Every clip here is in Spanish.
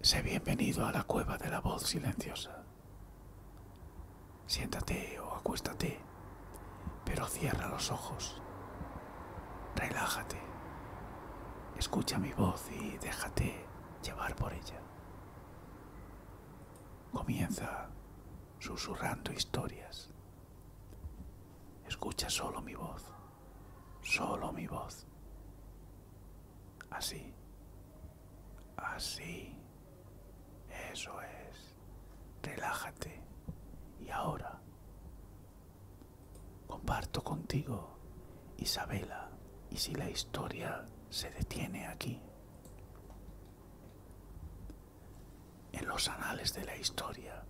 Sé bienvenido a la cueva de la voz silenciosa. Siéntate o acuéstate, pero cierra los ojos. Relájate. Escucha mi voz y déjate llevar por ella. Comienza susurrando historias Escucha solo mi voz, solo mi voz. Así, así, eso es. Relájate. Y ahora, comparto contigo, Isabela, y si la historia se detiene aquí en los anales de la historia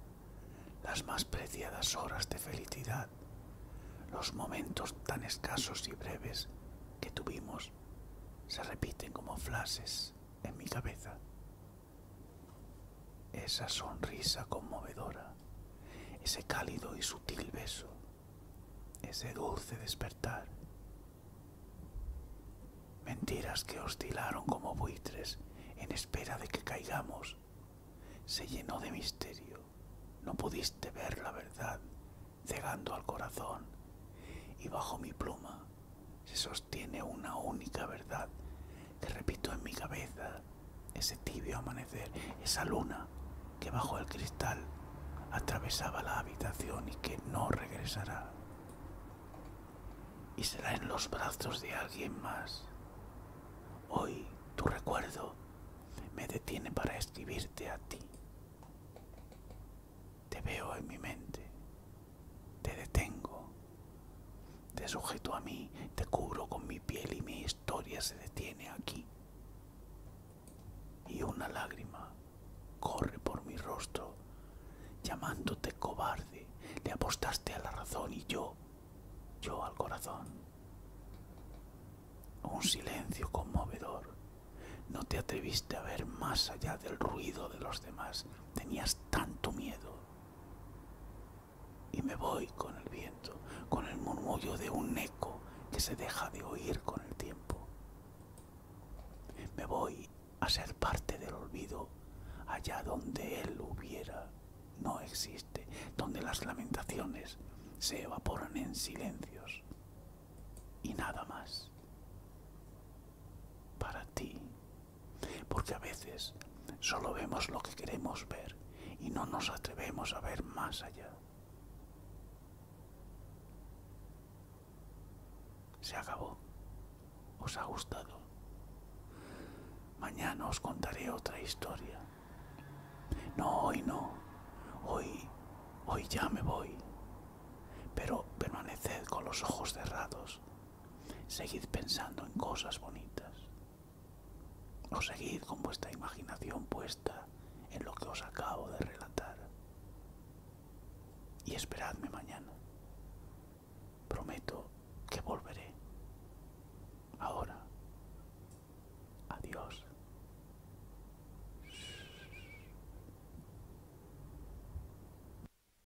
las más preciadas horas de felicidad, los momentos tan escasos y breves que tuvimos, se repiten como flashes en mi cabeza. Esa sonrisa conmovedora, ese cálido y sutil beso, ese dulce despertar, Mentiras que oscilaron como buitres en espera de que caigamos. Se llenó de misterio. No pudiste ver la verdad, cegando al corazón. Y bajo mi pluma se sostiene una única verdad que repito en mi cabeza. Ese tibio amanecer, esa luna que bajo el cristal atravesaba la habitación y que no regresará. Y será en los brazos de alguien más. Hoy tu recuerdo me detiene para escribirte a ti. Te veo en mi mente, te detengo, te sujeto a mí, te cubro con mi piel y mi historia se detiene aquí y una lágrima corre por mi rostro, llamándote cobarde, le apostaste a la razón y yo, yo al corazón. Un silencio conmovedor. No te atreviste a ver más allá del ruido de los demás. Tenías tanto miedo. Y me voy con el viento con el murmullo de un eco que se deja de oír con el tiempo. Me voy a ser parte del olvido allá donde él hubiera, no existe, donde las lamentaciones se evaporan en silencios y nada más. Para ti, porque a veces Solo vemos lo que queremos ver y no nos atrevemos a ver más allá. Se acabó. ¿Os ha gustado? Mañana os contaré otra historia. No, hoy no. Hoy, hoy ya me voy. Pero permaneced con los ojos cerrados. Seguid pensando en cosas bonitas o seguid con vuestra imaginación puesta en lo que os acabo de relatar. Y esperadme mañana. Prometo que volveré. Ahora. Adiós.